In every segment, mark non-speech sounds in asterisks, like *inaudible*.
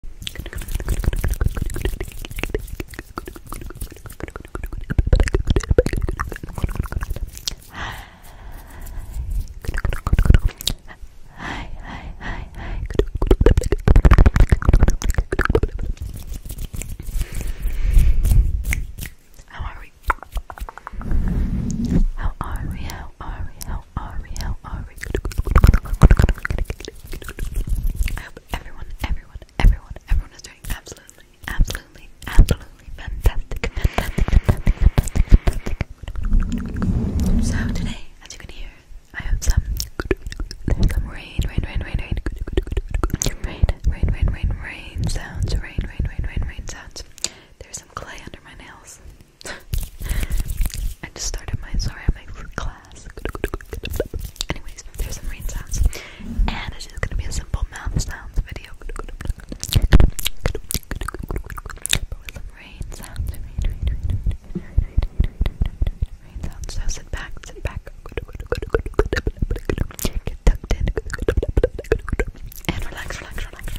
Hi. Hi, hi, hi, hi. How are we? How are we? How are we? How are we? are we? I hope everyone, everyone, everyone, everyone is doing absolutely, absolutely, absolutely fantastic, fantastic, fantastic, fantastic, So today, as you can hear, I have some some rain, rain, rain, rain, rain, rain, rain, rain, rain, rain sounds, rain, rain, rain, rain, rain sounds. There's some clay under my nails. I just started my sorry, I clay Anyways, there's some rain sounds. And it's just gonna be a simple mouth sounds video. But with some rain sounds. So sit back, sit back. Get tucked in. And relax, relax, relax, relax.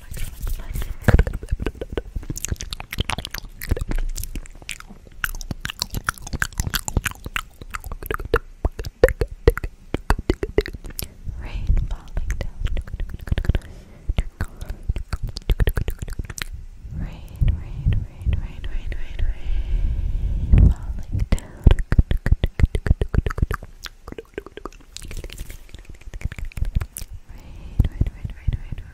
Rain falling down. Rain, rain, rain, rain, rain, rain, rain falling down. Rain, rain, rain, rain, rain, rain,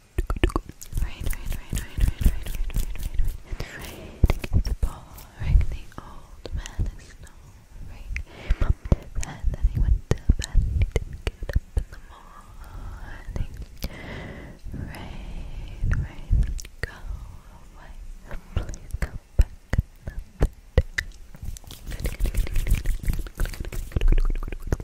Right, right, right, right, right, right, right, right, right, right. And right, the ball, right, the old man is snoring. He went to bed he didn't get up in the morning. Rain, rain, go away. Please come back another day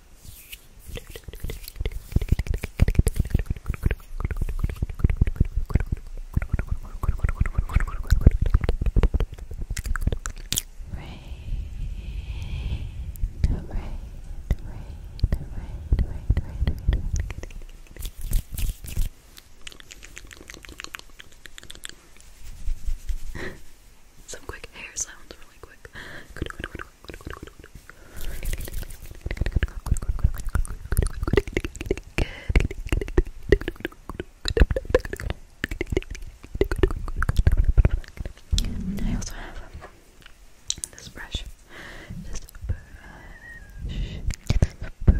Some quick hair sounds really quick. *laughs* I also have this brush. This brush. This brush.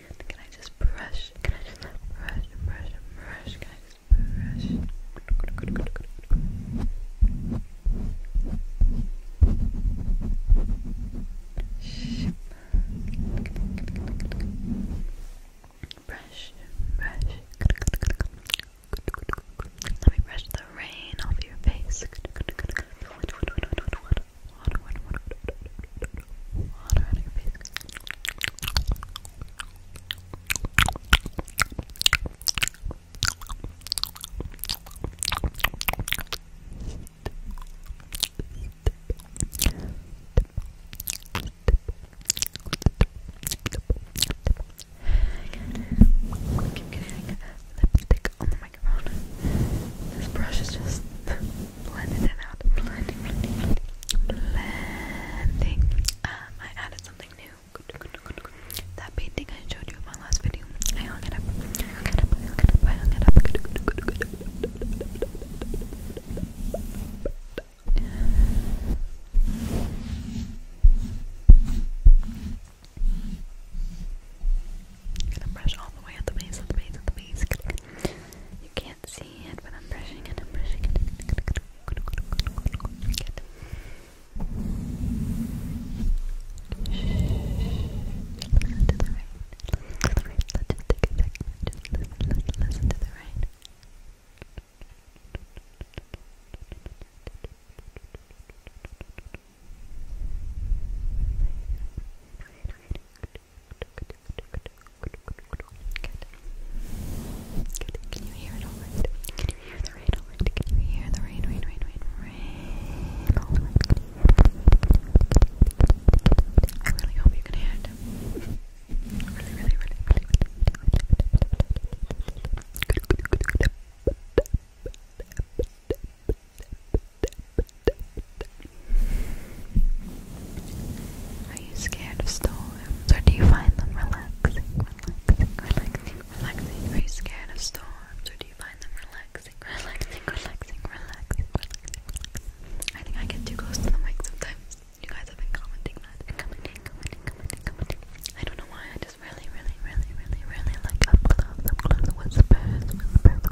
good. Can I just brush? Can I just brush, brush, brush? Can I just brush? Good, good, good, good, good. Brush, brush. Let me brush the rain off your face. Water on your face. I keep getting lipstick on the microphone. This brush is just blended out. Blending, blending, blending, Um, I added something new. That painting I showed you in my last video. I hung it up. I hung it up. I hung it up. I hung it up. i brush all the way at the base, at the base, at the base. You can't see it, but I'm brushing it, I'm brushing it. Listen to the rain. just take a second. Just listen, listen to the rain. Good. Can you hear it all right? Can you hear the rain all right? Can you hear the rain, rain, rain, rain, rain all right? I really hope you can hear it. Really, really, really, really, really. Are you scared of storms or do you find them relaxing? Relaxing, relaxing, relaxing. Are you scared of storms or do you find them relaxing? Relaxing, relaxing, relaxing, I think I get too close to the mic sometimes. You guys have been commenting that. Commenting, commenting, commenting, commenting. I don't know why, I just really, really, really, really, really like up close, up close, whispers, whispers, whispers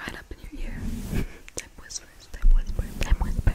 right up in your ear. Time whispers, time whisper, time whisper.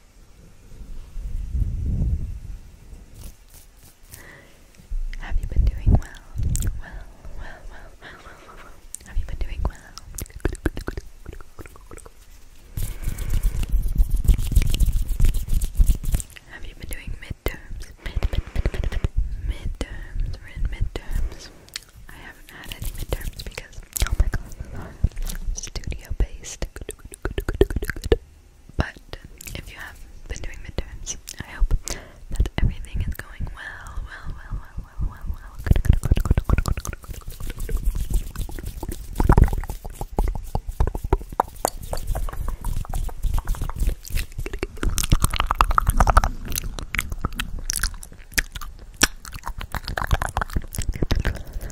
Have you been doing well? Well, well, well, well, well, well, Have you been doing well? Have you been doing midterms? midterms. We're in midterms. I haven't had any midterms because, oh my god, studio based. But if you have been doing midterms, I hope that everything is going well, well, well, well, well, well, well.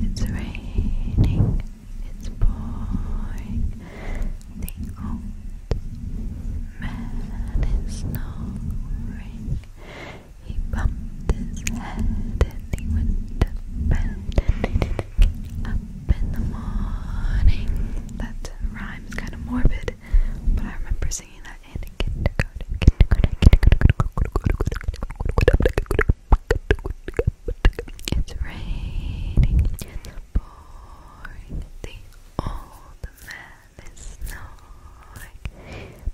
It's raining, it's pouring. The old man is snoring. He bumped his head and he went to bed. up in the morning. That rhyme's kind of morbid. But I remember singing that in kindergarten. kindergarten, kindergarten. It's raining and pouring. The old man is snoring.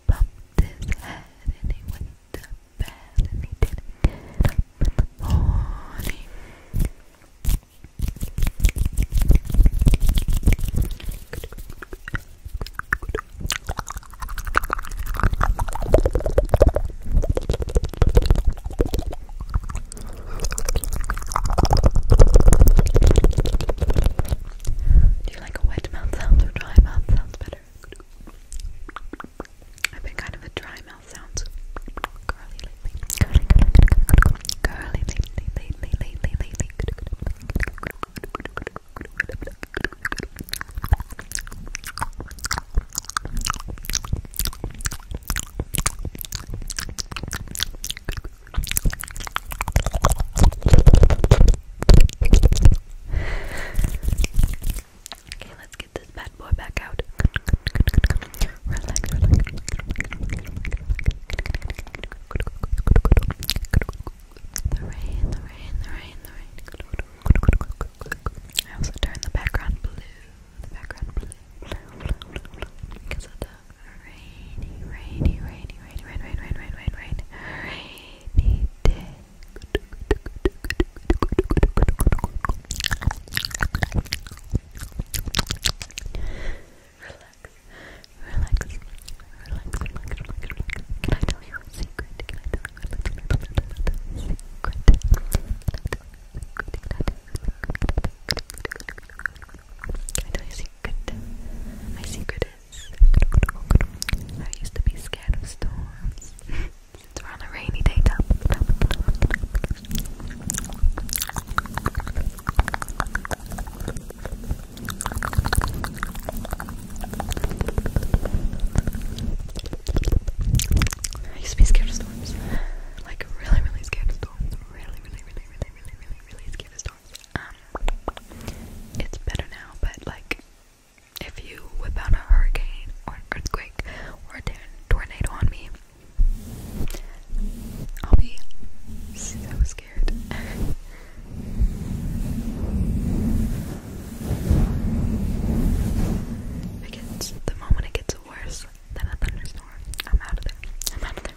Bumped his head and he went to bed and he didn't get up in the morning. Do you like wet mouth sound or dry mouth sounds better? I've been kind of a dry mouth sounds girly curly, curly, lately, lately, lately, Okay, let's get this bad boy back out relax, relax, I also turned the background blue. The background blue, Because of the rainy, rainy, rainy, rainy, rain, rain, rain, rain, rain, rainy day relax, relax, relax, Can I tell you a secret? Can I tell you a secret? My secret is *laughs* I used to be scared of storms. *laughs* Since we're on a rainy day, I used to be scared of storms. Like really, really scared of storms. Really, really, really, really, really, really, really scared of storms. Um it's better now, but like if you whip out a hurricane or an earthquake or a tornado on me, I'll be so scared. it gets, the moment it gets worse than a thunderstorm, I'm out of there. I'm out of there.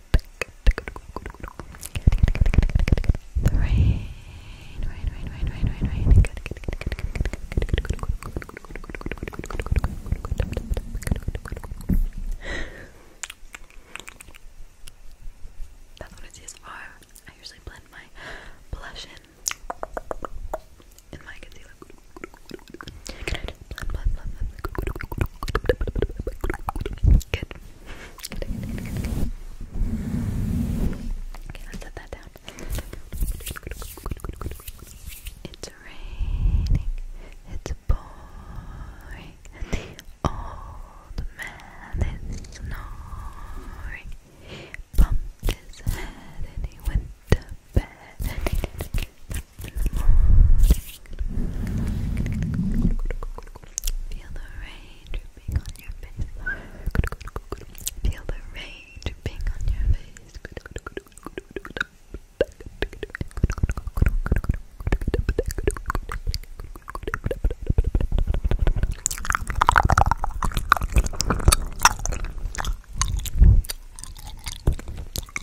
The That's what it's used for. I usually blend my blush in in my concealer. Okay, let's set that down. It's raining. It's pouring. The old man is snoring. He bumped his head and he went to bed. Feel the rain dripping on your face. Feel the rain dripping on your face.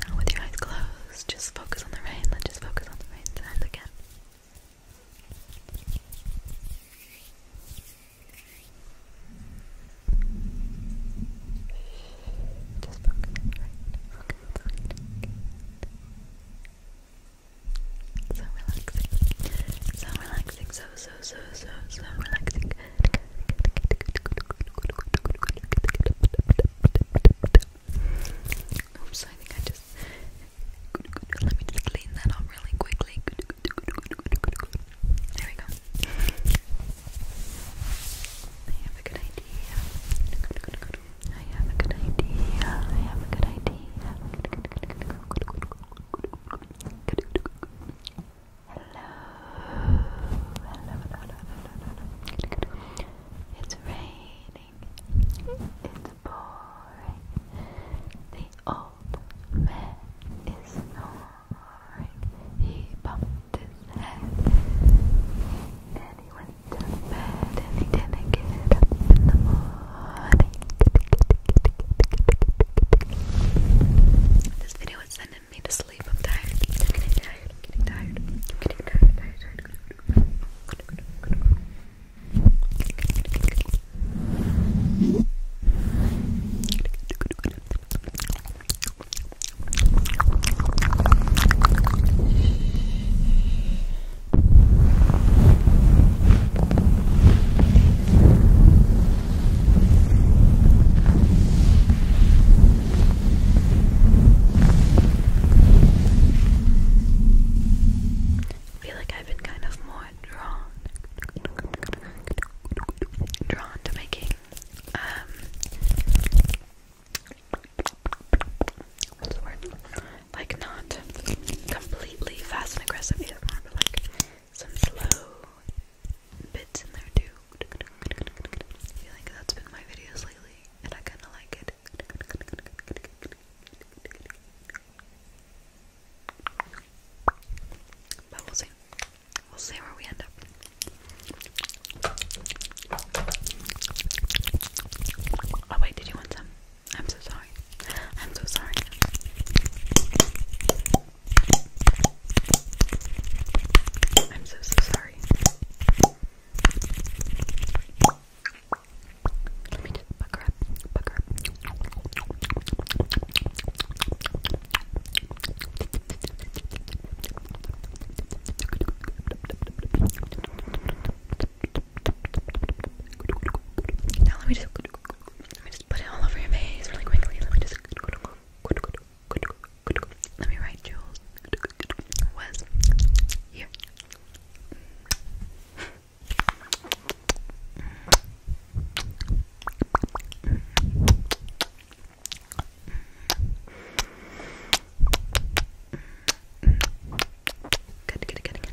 Now, with your eyes closed, just focus on the rain. Let's just focus on the rain sound again. Just focus on the rain. So relaxing. So relaxing. So so, so, so, so relaxing. Oops, I think I just. Let me just clean that up really quickly. There we go. I have a good idea. I have a good idea. I have a good idea hello, It's raining. It's boring. The old man is snoring. He bumped his head and he went to bed and he didn't get up in the morning. This video is sending me to sleep. I'm tired. I'm getting tired. I'm getting tired. I'm getting tired. I'm tired, tired, tired. I feel like I've been kind of more drawn drawn to making um Like not completely fast and aggressive ASMR, but like some slow bits in there too. I feel like that's been my videos lately, and I kinda like it. But we'll see. We'll see where we end up. Oh wait, did you want some? I'm so sorry. I'm so sorry. I'm so so sorry. Let me just buck her up, buck her up. Now let me just let me just put it all over your face really quickly. Let me just. Let me write Jules was here. good, good, good, good.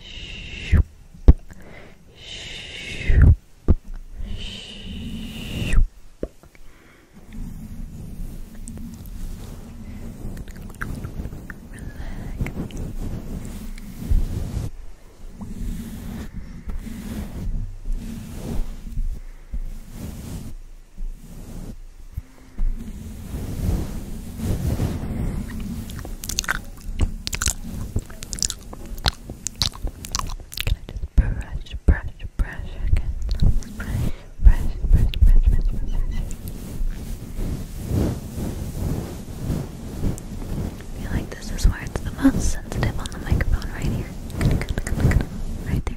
Shoop. Shoop. Shoop. Relax. Relax. Can I just brush, brush, brush again? feel like this is where it's the most sensitive on the microphone, right here. Right there.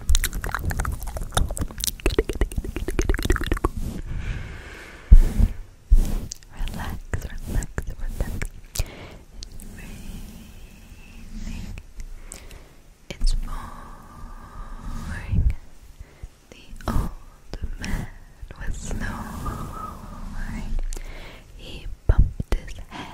Relax, relax, It's raining. It's pouring. The old man was snoring. He bumped his head